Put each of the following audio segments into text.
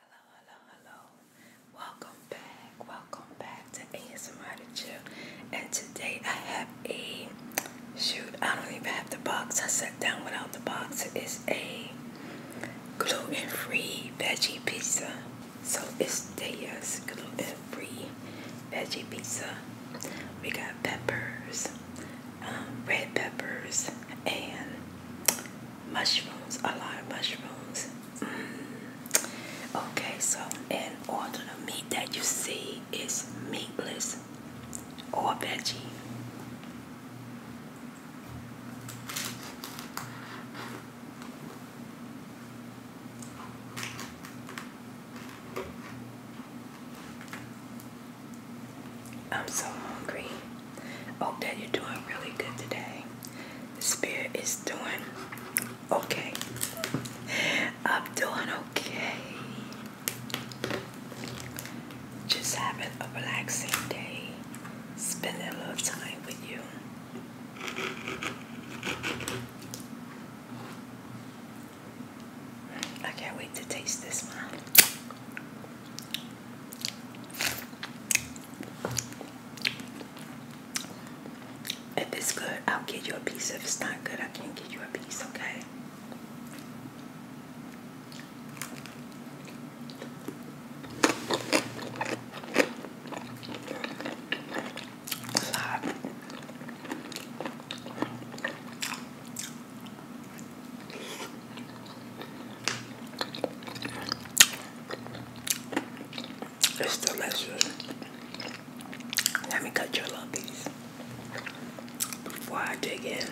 Hello, hello, hello. Welcome back. Welcome back to ASMR to Chill. And today I have a shoot. I don't even have the box. I sat down without the box. It's a gluten-free veggie pizza. So it's Daya's gluten-free veggie pizza. We got peppers, um, red peppers, and mushrooms, a lot of mushrooms. Mm. Okay, so and all the meat that you see is meatless or veggie. I'm so hungry. Hope that you're doing really good today. The spirit is doing okay. I'm doing okay. Just having a relaxing day. Spending a little time with you. I can't wait to taste this one. If it's good, I'll give you a piece. If it's not good, I can't give you a piece, okay? hot. It's delicious. Let me cut your lumpies before I dig in.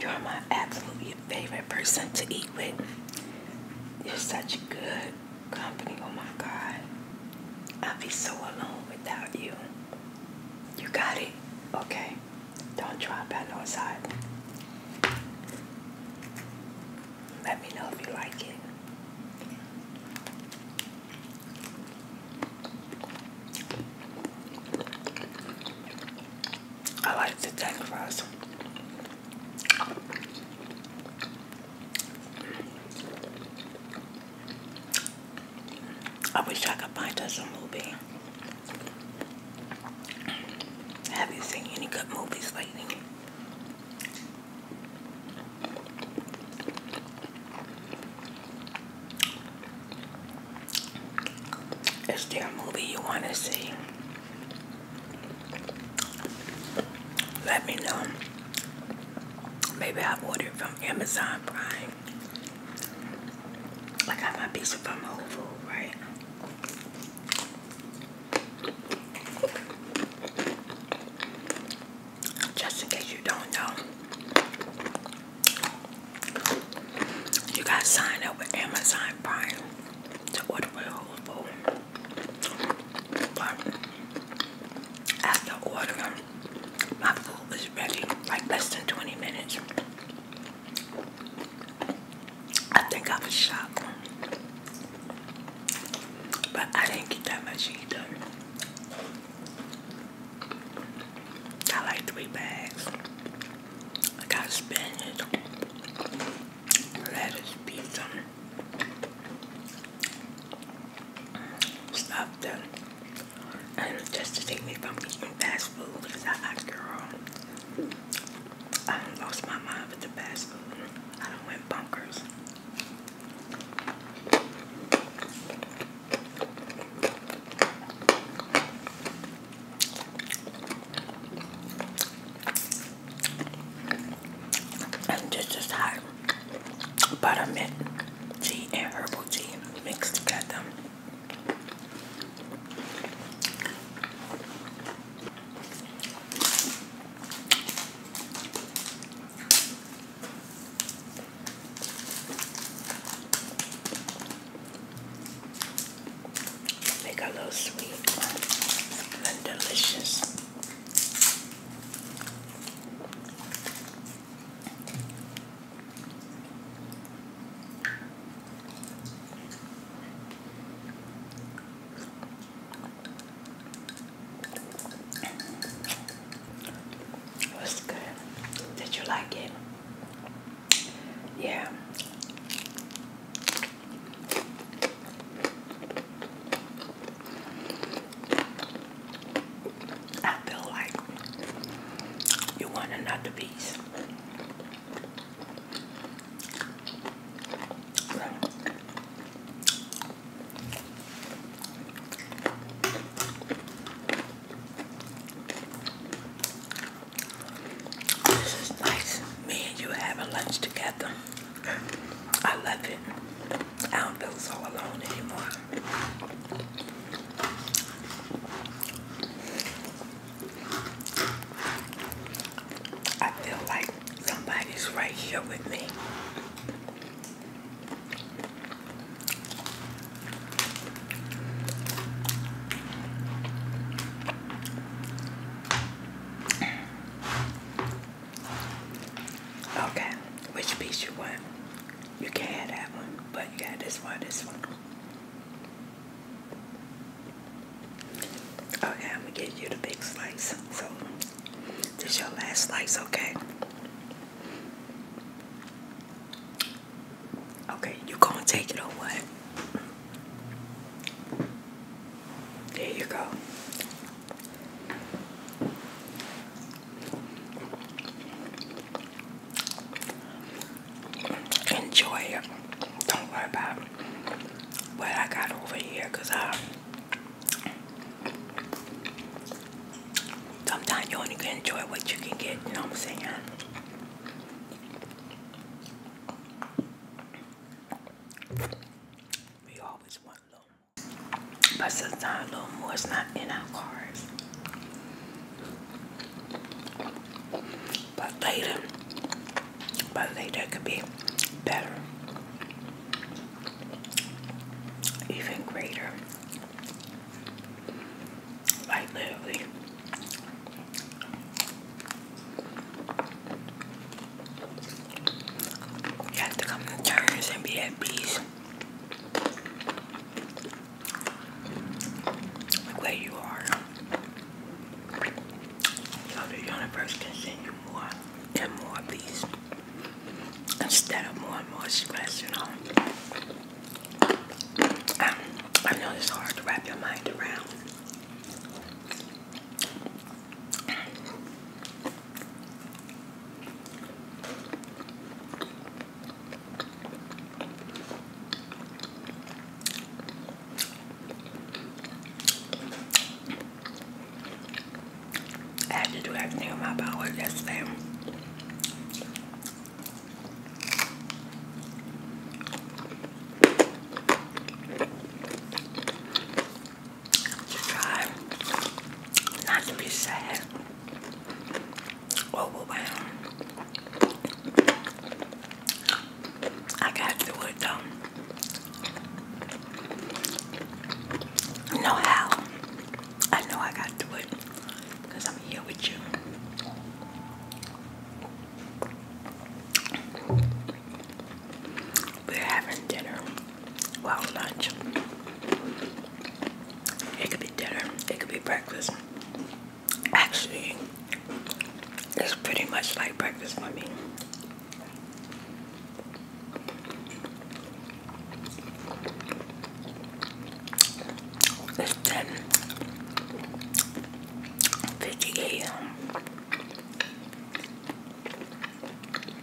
You're my absolutely favorite person to eat with. You're such good company. Oh my God. I'd be so alone without you. You got it? Okay. Don't drop that no side. Let me know if you like it. I like the thin crust. I wish I could find us a movie. Have you seen any good movies lately? Is there a movie you want to see? Let me know. Maybe I'll order it from Amazon Prime. I got my pizza from Whole Food, right? Just in case you don't know, you gotta sign up with Amazon Prime to order with Whole Food. But after ordering, my food was ready like less than 20 minutes. I think I was shocked. But I didn't get that much either. I like three bags. I got spinach, lettuce, pizza, stuffed them, and just to take me from eating fast food because I, I girl, I lost my mind with the fast food. I don't went bunkers. And just as hot buttermint tea and herbal tea mixed together. Make a little sweet and delicious. It was good. Did you like it? Yeah. I feel like you want another piece. This is nice. Me and you having lunch together. I love it. I don't feel so alone anymore. I feel like somebody's right here with me. Okay, which piece you want? You can't have that one, but you got this one, this one. Okay, I'm gonna give you the big slice. So, this your last slice, okay? Okay, you gonna take it or what? There you go. Enjoy it. Don't worry about what I got over here because I uh, sometimes you only can enjoy what you can get, you know what I'm saying? We always want a little more. But sometimes a little more is not in our cards. But later, but later it could be better, even greater. Like literally. You have to come to terms and be at peace Look where you are. So the universe can send you more and more peace instead of more and more stress, you know. Um, I know it's hard to wrap your mind around. I have to do everything on my power yesterday. To try not to be sad. Oh, wow. I got to do it though. I how. I know I got to do it because I'm here with you. We're having dinner. Well, lunch. It could be dinner, it could be breakfast. Actually, it's pretty much like breakfast for me. It's 10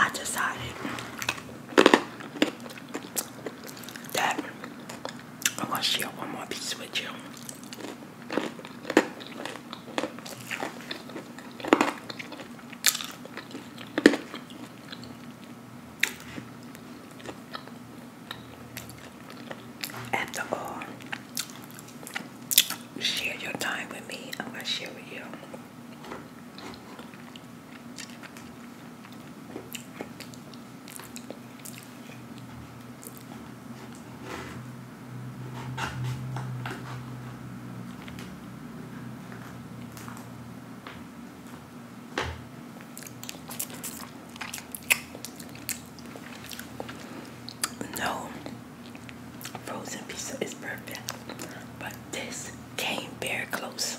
I decided that I going to share one more piece with you. After all, share your time with me. I'm going to share with you. No frozen pizza is perfect, but this came very close.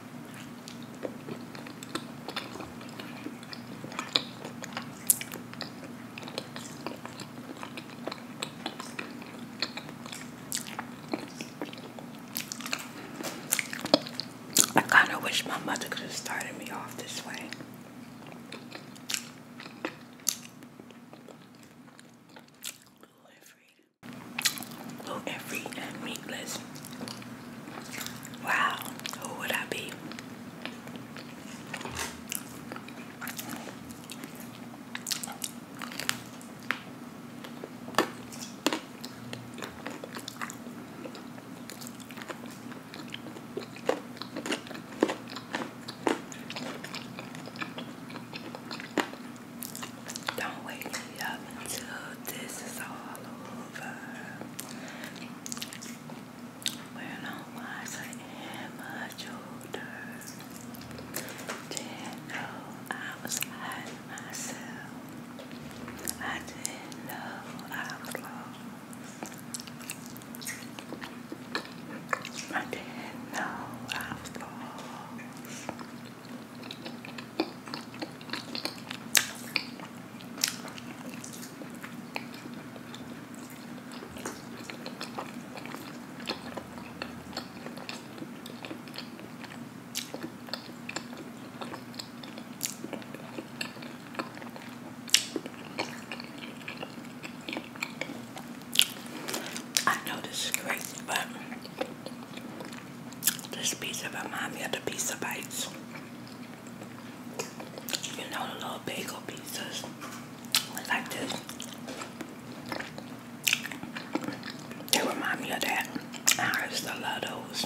I kind of wish my mother could have started me off this way. Gluten free, free, and meatless. Wow, who would I be? Don't wait until this is all over. We're not wise, I am much older. Didn't know I was hiding myself. I didn't know I was lost. I didn't know I was lost. I know this is great, but this pizza remind me of the um, pizza bites. You know the little bagel pizzas like this. They remind me of that. I still love those.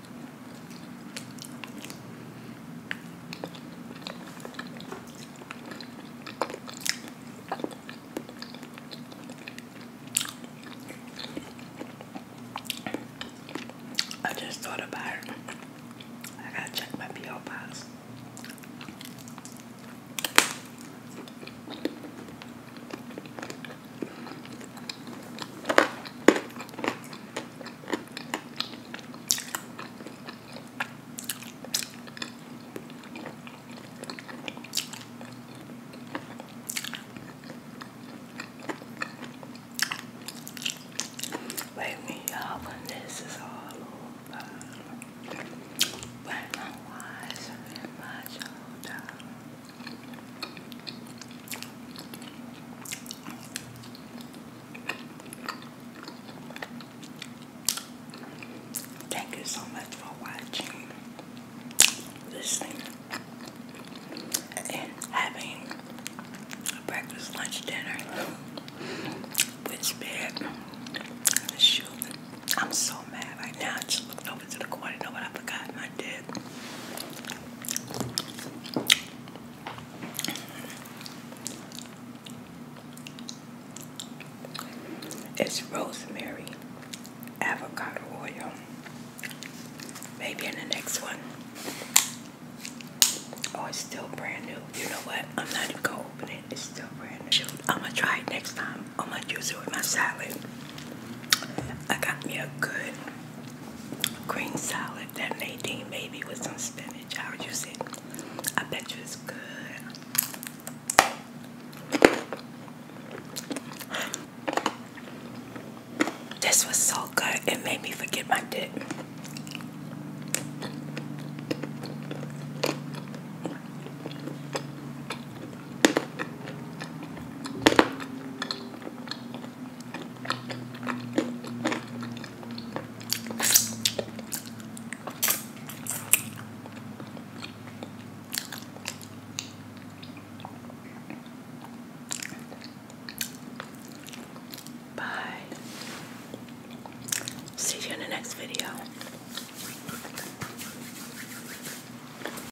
I just thought about it. I gotta check my P.O. box. Wait me you when this is all over. When I'm wiser in my shoulder. Thank you so much for watching, listening, and having breakfast, lunch, dinner with bed I'm so mad right now. just looked over to the corner. know what I forgot? It's rosemary, avocado oil. Maybe in the next one. Oh, it's still brand new. You know what? I'm not even gonna open it. It's still brand new. I'm gonna try it next time. I'm gonna use it with my salad. I got me a good green salad that Nadine made me with some spinach. How would you say? I bet you it's good. This was so good, it made me forget my dick. Bye. See you in the next video.